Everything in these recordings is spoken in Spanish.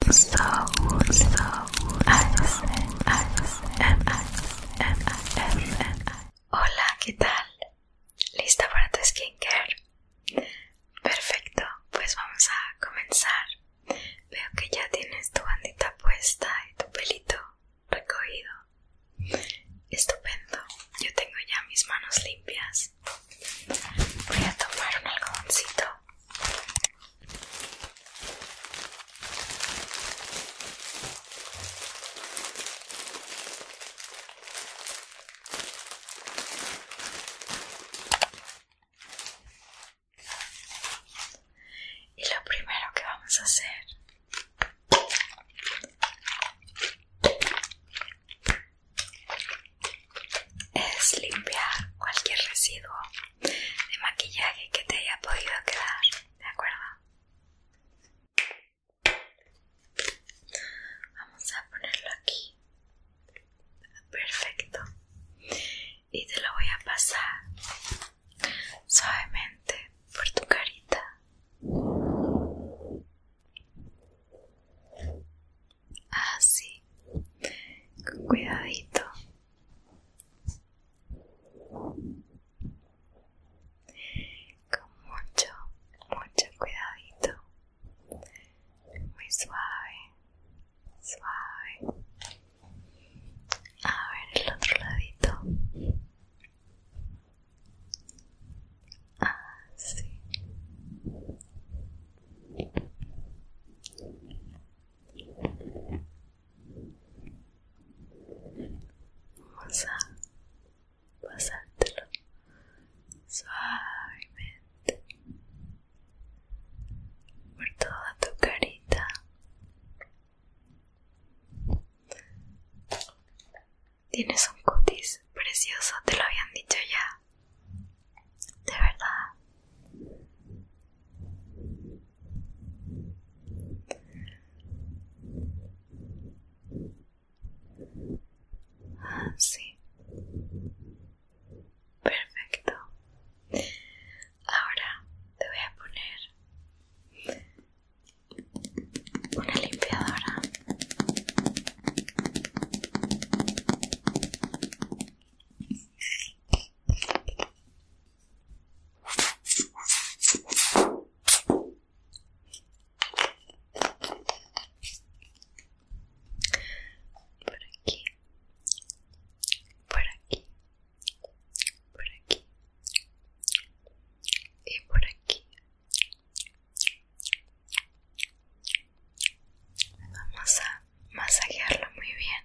So, so, Hola, ¿qué tal? ¿Lista para tu skincare? Perfecto, pues vamos a comenzar. Veo que ya tienes tu bandita puesta y tu pelito recogido. Estupendo, yo tengo ya mis manos limpias. Voy a tomar un algodoncito y lo primero que vamos a hacer es limpiar cualquier residuo de maquillaje que te haya podido quedar, ¿de acuerdo? Vamos a ponerlo aquí. Perfecto. Y te lo voy a pasar suavemente por tu carita. Así, con cuidadito con mucho, mucho cuidadito, muy suave, suave. A ver el otro ladito. Así. Ah, Vamos a pasártelo suavemente por toda tu carita. Tienes un cutis precioso, te lo habían dicho ya. De verdad. Ah, sí. Perfecto. Ahora te voy a poner una limpiadora. Por aquí, por aquí, por aquí y por aquí. Vamos a masajearlo muy bien.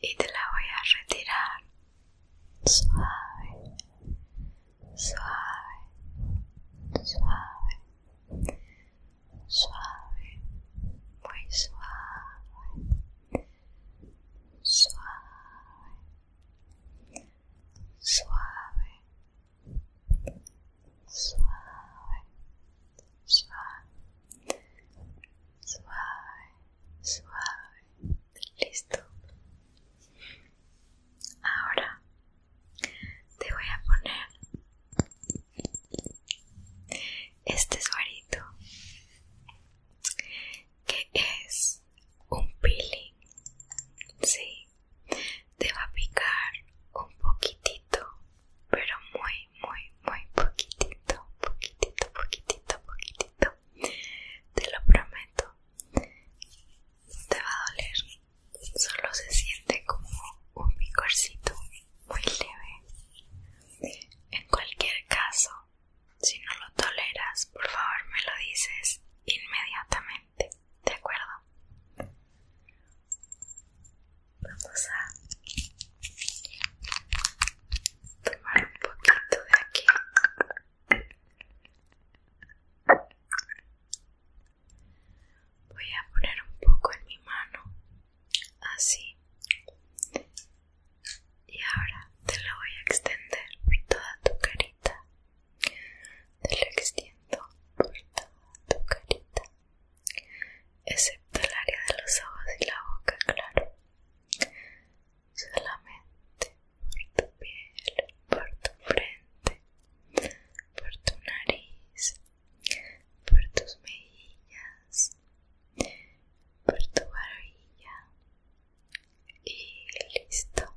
y te la voy a retirar suave, suave, suave, suave, muy suave, suave, suave, suave, suave, suave, suave, listo. Ahora te voy a poner este suarito que es un peeling, sí, te va a picar un poquitito, pero muy, muy, muy poquitito, poquitito, poquitito, poquitito te lo prometo. Te va a doler, solo se siente como un picorcito muy leve. En cualquier caso, si no lo toleras, por favor me lo dices inmediatamente, ¿de acuerdo? Vamos a tomar un poquito de aquí voy a poner un poco en mi mano así y ahora te lo voy a extender por toda tu carita te lo extiendo por toda tu carita excepto el área de los ojos y la boca claro solamente por tu piel, por tu frente, por tu nariz, por tus mejillas, por tu barbilla y listo.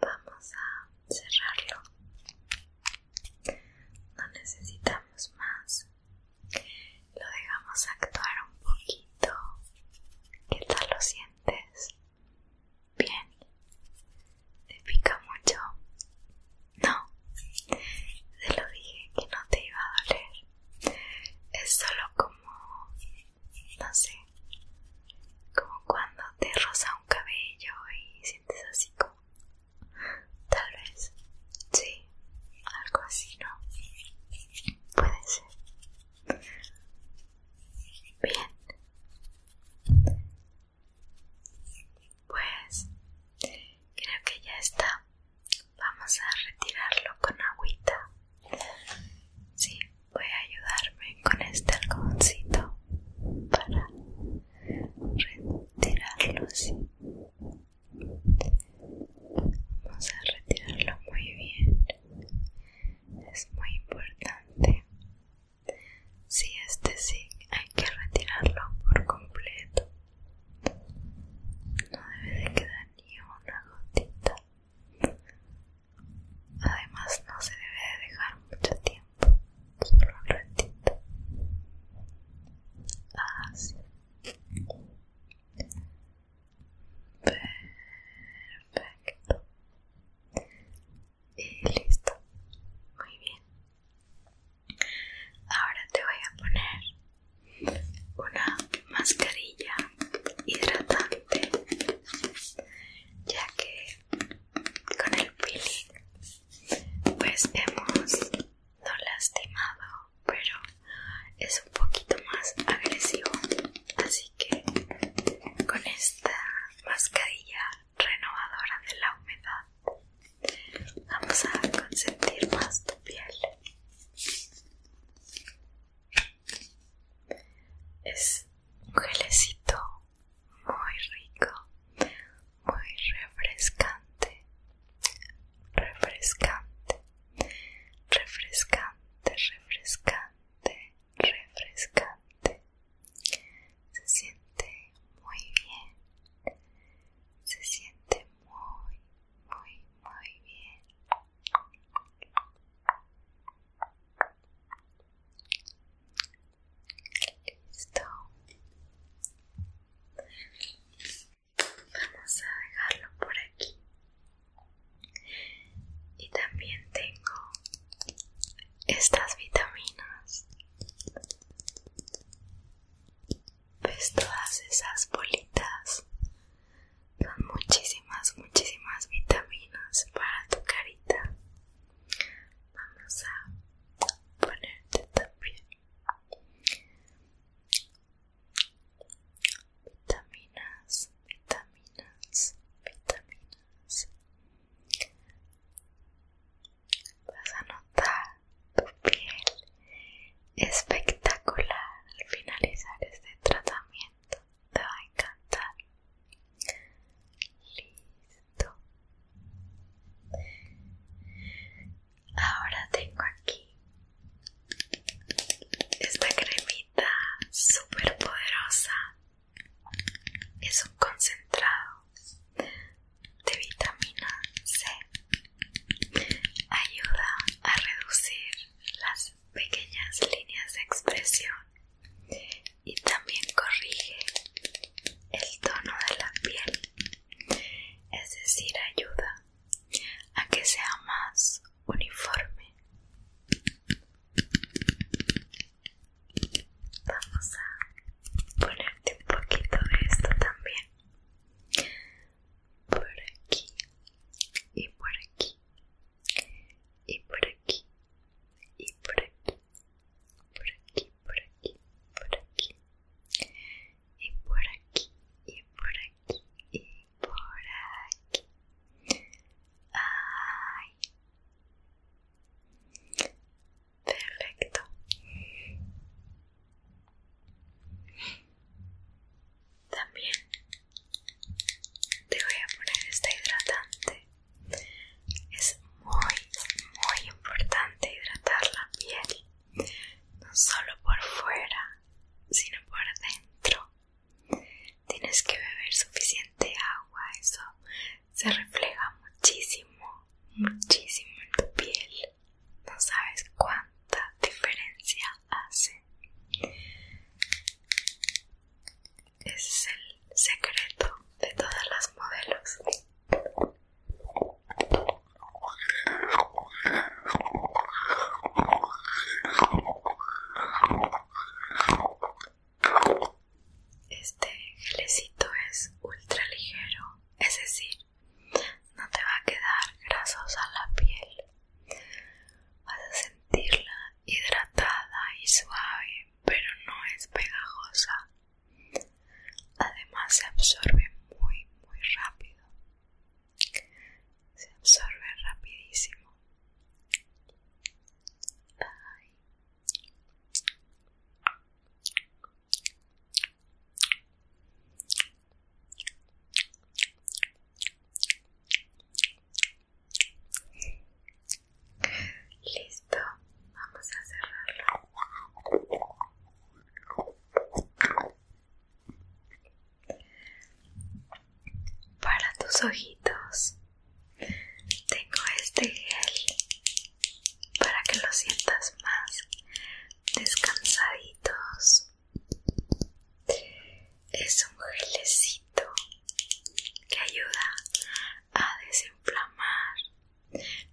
Vamos a cerrarlo. No necesitamos más lo dejamos actuar un poquito. ¿Qué tal lo sientes? Bien. ¿Te pica mucho? No. Te lo dije que no te iba a doler. Es solo como... no sé. Como cuando te rosa un cabello y sientes así como... Tal vez. Sí algo así, ¿no? Puede ser. Bien. Pues creo que ya está. Vamos a retirarlo con agüita. Sí, voy a ayudarme con este algodoncito para retirarlo así. Vamos a retirarlo muy bien. Es muy importante. Si este sí, hay que retirarlo por completo. No debe de quedar ni una gotita. Además, no se debe de dejar mucho tiempo. Solo un ratito. Así. Ah, Perfecto. Y listo. Muy bien. Ahora te voy a poner una mascarilla hidratante, ya que con el peeling pues hemos no lastimado pero es un poquito más agresivo así que con esta mascarilla renovadora de la humedad vamos a consentir más tu piel es un gelecito muy rico muy refrescante refrescante refrescante, refrescante, refrescante. Se siente muy bien. Se siente muy, muy, muy bien. Listo vamos a dejarlo por aquí y también tengo estas vitaminas ves pues todas esas bolitas son muchísimas muchísimas vitaminas para tu carita vamos a ponerte también vitaminas, vitaminas, vitaminas. Vas a notar tu piel espectacular al finalizar este tratamiento. Te va a encantar. Listo. Ahora tengo aquí esta cremita super poderosa es un concentrado de vitamina C ayuda a reducir las pequeñas líneas de expresión y también corrige el tono de la piel es decir ayuda a que sea más uniforme. Vamos a ponerte un poquito de esto también. Por aquí y por aquí y por aquí y por aquí. Por aquí, por aquí, por aquí. Y por aquí y por aquí y por aquí. Ay. Perfecto. También te voy a poner este hidratante. Es muy, muy importante hidratar la piel, no solo por fuera, sino por dentro. Tienes que beber suficiente agua, eso se refleja muchísimo, muchísimo en tu piel. No sabes cuánta diferencia hace. Ese es el secreto de todas las modelos. Este gelecito es ultra ligero, es decir, no te va a quedar grasosa la piel. Vas a sentirla hidratada y suave, pero no es pegajosa. Además se absorbe muy muy rápido se absorbe rapidísimo Listo, vamos a cerrarlo. Para tus ojitos tengo este gel para que lo sientas más descansaditos. Es un gelecito que ayuda a desinflamar,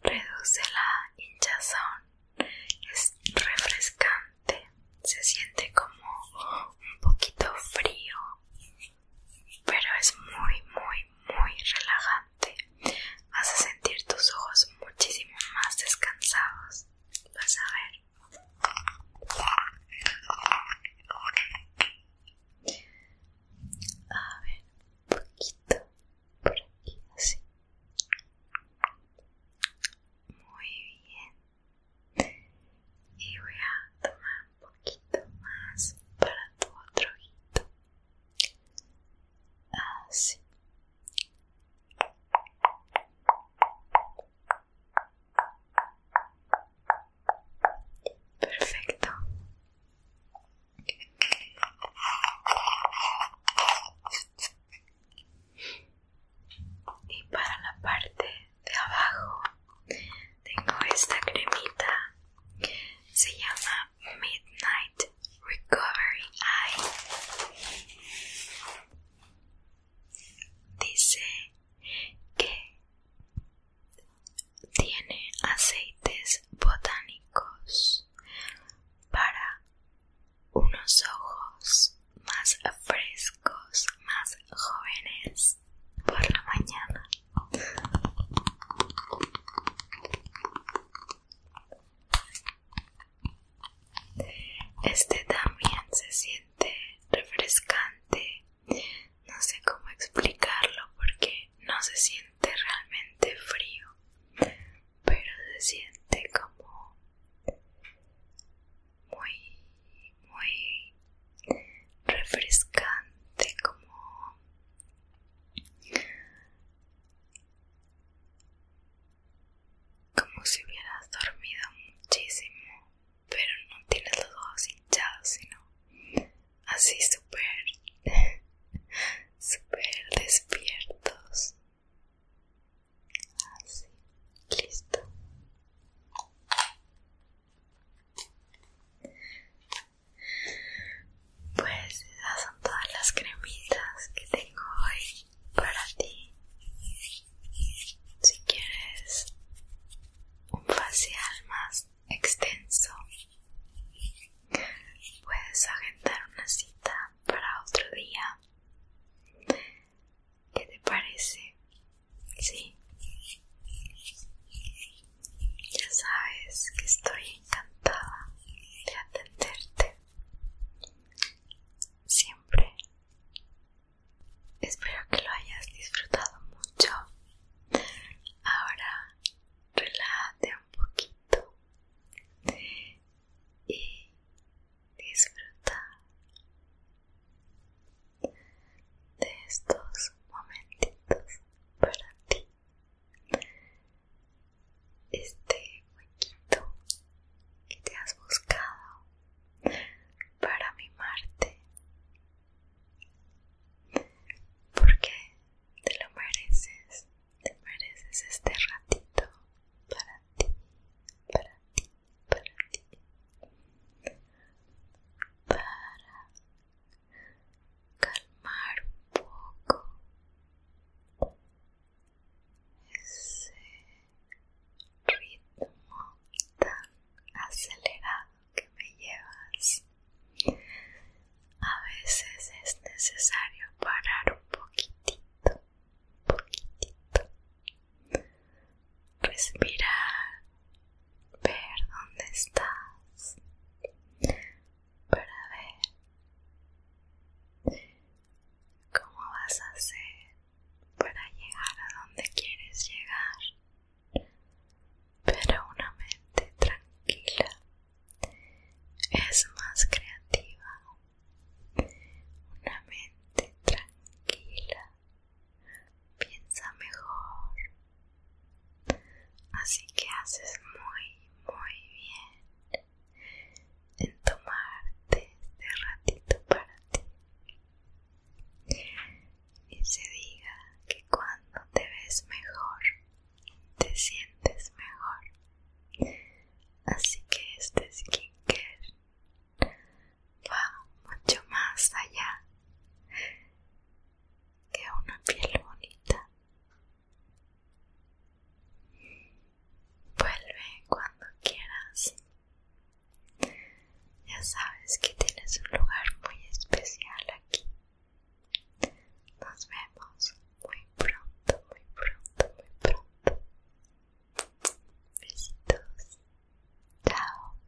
reduce la hinchazón, es refrescante se siente como un poquito frío pero es muy muy muy relajante vas a sentir tus ojos muchísimo más descansados vas a ver a ver un poquito por aquí así muy bien y voy a tomar un poquito más para tu otro ojito así perfecto y para la parte de abajo tengo esta cremita se llama Midnight Recovery Eye dice que tiene aceites botánicos para unos ojos más frescos, más jóvenes por la mañana. Este también se siente refrescante. No sé cómo explicarlo porque no se siente realmente frío, pero se siente como muy, muy refrescante, como como si hubieras dormido muchísimo, pero no tienes los ojos hinchados, sino así súper, súper despiertos. Así, listo. Pues esas son todas las cremitas que tengo hoy para ti. Si quieres un facial más extenso, puedes agendar una cita para otro día. ¿Qué te parece? Sí. Ya sabes que estoy encantada de atenderte. Siempre. Espero que lo hayas disfrutado mucho. Ahora relájate un poquito y disfruta de estos momentitos para ti este huequito que te has buscado para mimarte porque te lo mereces te mereces este ratito para ti para ti para calmar un poco ese ritmo tan acelerado que me llevas. A veces es necesario parar un poquitito, un poquitito respirar, ver dónde estás, para ver cómo vas a hacer para llegar a donde quieres llegar. Pero una mente tranquila es más creativa. Una mente tranquila piensa mejor. Así que haces muy, muy bien en tomarte este ratito para ti. Y se diga que cuando te ves mejor, te sientes mejor. Así que este skincare va mucho más allá que una piel bonita. Vuelve cuando quieras. Ya sabes que tienes un lugar muy especial aquí. Nos vemos muy pronto, muy pronto, muy pronto. Besitos. Chao.